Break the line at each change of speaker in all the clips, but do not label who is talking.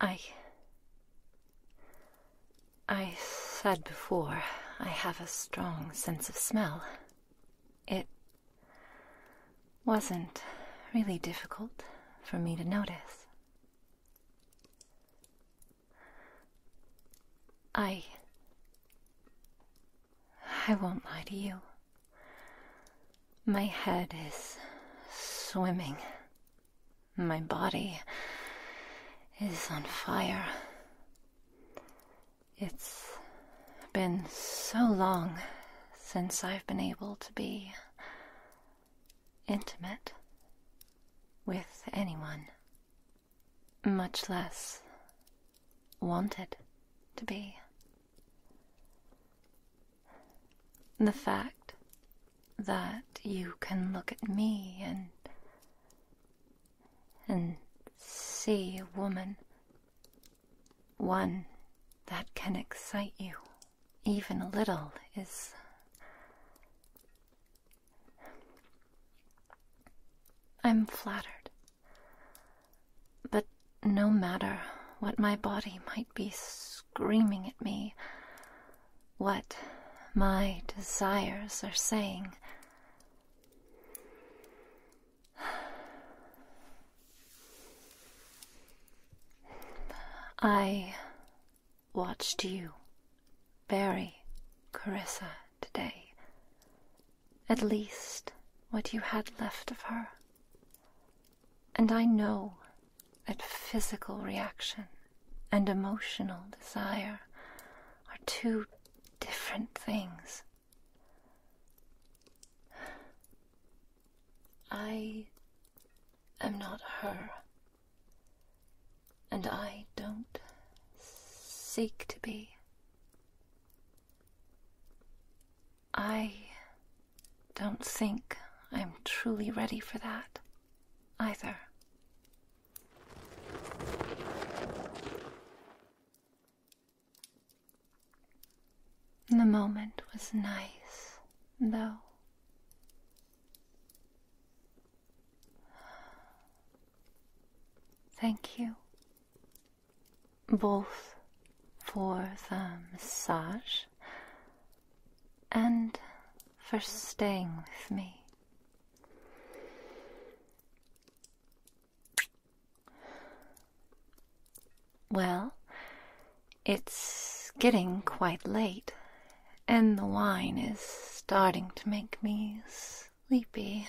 I. I said before, I have a strong sense of smell. It wasn't really difficult for me to notice. I I won't lie to you. My head is swimming. My body is on fire. It's been so long since I've been able to be intimate with anyone much less wanted to be. The fact that you can look at me and and see a woman, one that can excite you even a little, is I'm flattered but no matter what my body might be screaming at me, what my desires are saying, I watched you bury Carissa today at least what you had left of her. And I know that physical reaction and emotional desire are two different things. I am not her, and I don't seek to be. I don't think I'm truly ready for that either. The moment was nice, though. Thank you both for the massage and for staying with me. Well, it's getting quite late, and the wine is starting to make me sleepy.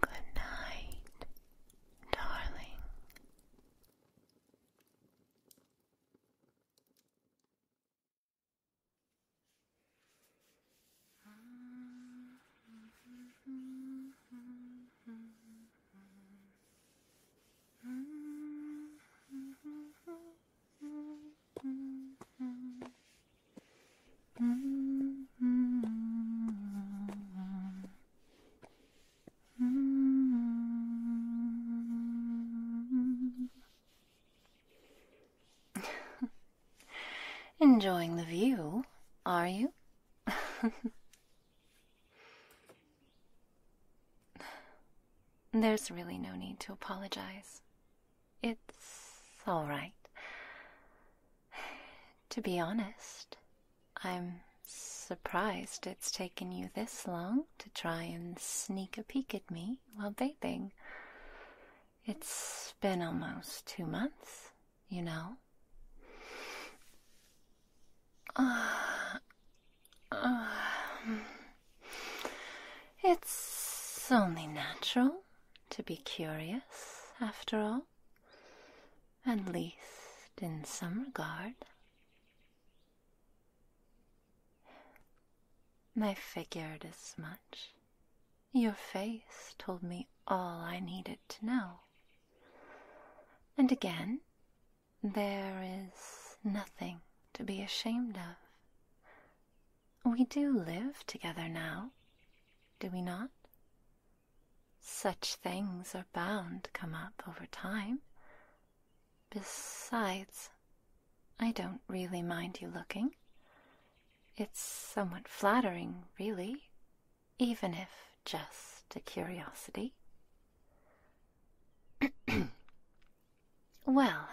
Good night, darling. Enjoying the view, are you? There's really no need to apologize. It's all right. To be honest, I'm surprised it's taken you this long to try and sneak a peek at me while bathing. It's been almost two months, you know. Uh, uh, it's only natural to be curious, after all at least in some regard. I figured as much. Your face told me all I needed to know. And again, there is nothing to be ashamed of. We do live together now, do we not? Such things are bound to come up over time. Besides, I don't really mind you looking. It's somewhat flattering, really, even if just a curiosity. well,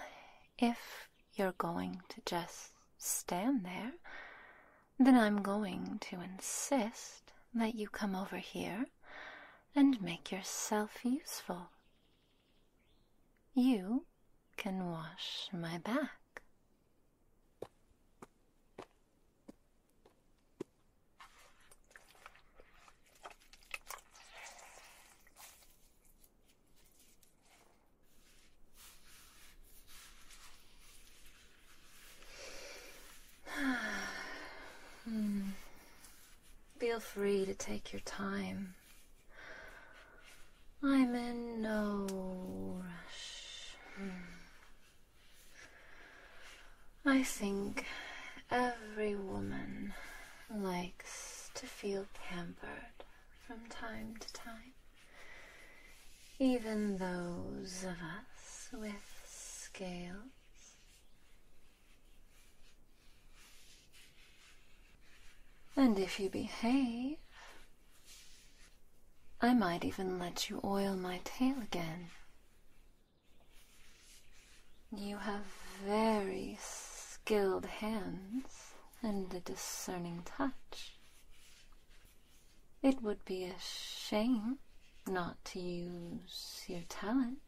if you're going to just stand there, then I'm going to insist that you come over here and make yourself useful. You can wash my back mm. Feel free to take your time. I'm in no rush. Hmm. I think every woman likes to feel pampered from time to time even those of us with scales. And if you behave, I might even let you oil my tail again. You have very skilled hands and a discerning touch. It would be a shame not to use your talents.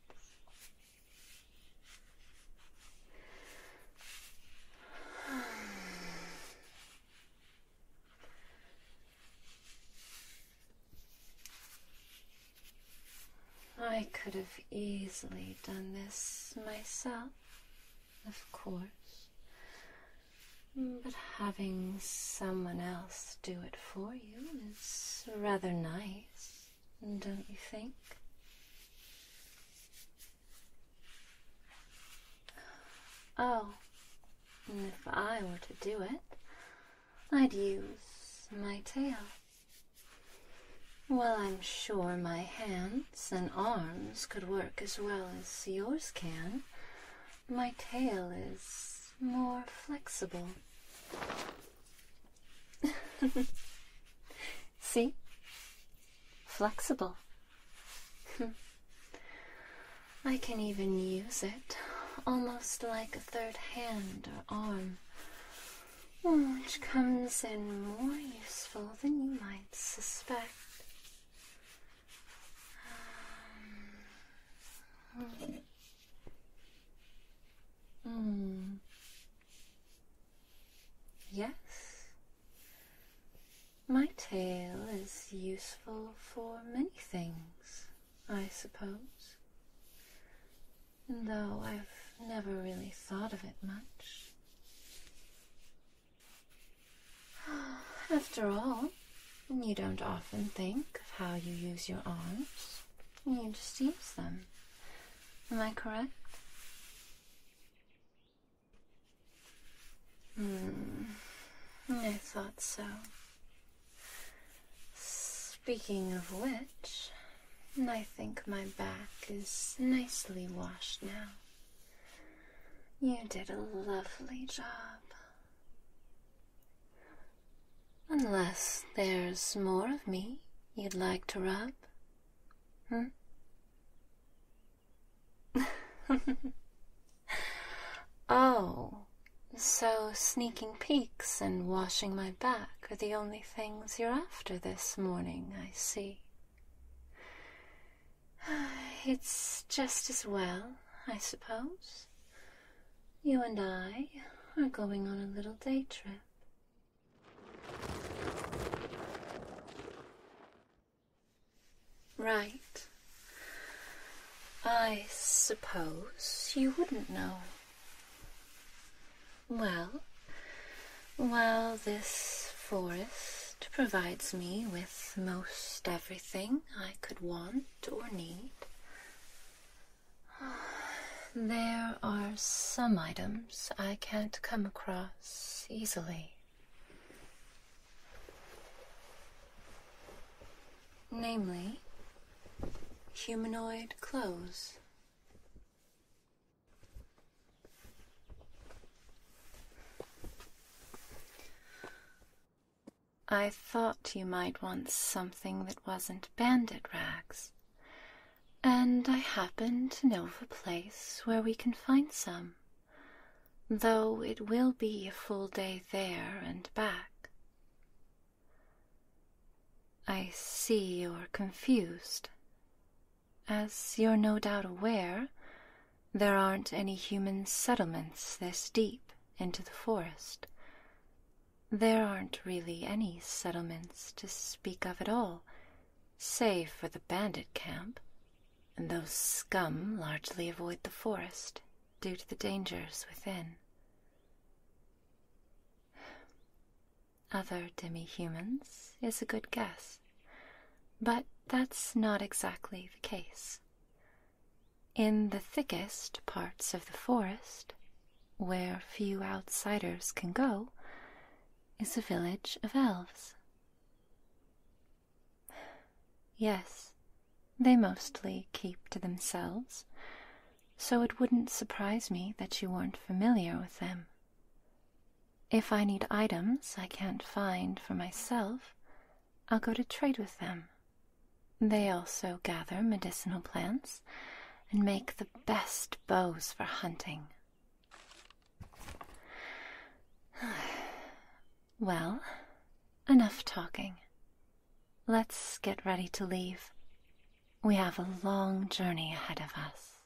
I could have easily done this myself, of course. But having someone else do it for you is rather nice, don't you think? Oh, if I were to do it, I'd use my tail. Well, I'm sure my hands and arms could work as well as yours can my tail is more flexible. See? Flexible. I can even use it almost like a third hand or arm, which comes in more useful than you might suspect. Mm. Yes, my tail is useful for many things, I suppose, though I've never really thought of it much. After all, you don't often think of how you use your arms. You just use them. Am I correct? Hmm, I thought so. Speaking of which, I think my back is nicely washed now. You did a lovely job. Unless there's more of me you'd like to rub, hmm? oh, so sneaking peeks and washing my back are the only things you're after this morning, I see. It's just as well, I suppose. You and I are going on a little day trip. Right. I suppose you wouldn't know. Well, while this forest provides me with most everything I could want or need. There are some items I can't come across easily. Namely, humanoid clothes. I thought you might want something that wasn't bandit rags, and I happen to know of a place where we can find some, though it will be a full day there and back. I see you're confused. As you're no doubt aware, there aren't any human settlements this deep into the forest. There aren't really any settlements to speak of at all, save for the bandit camp, and those scum largely avoid the forest due to the dangers within. Other demi-humans is a good guess, but that's not exactly the case. In the thickest parts of the forest, where few outsiders can go, is a village of elves. Yes, they mostly keep to themselves, so it wouldn't surprise me that you weren't familiar with them. If I need items I can't find for myself, I'll go to trade with them. They also gather medicinal plants and make the best bows for hunting. well, enough talking. Let's get ready to leave. We have a long journey ahead of us.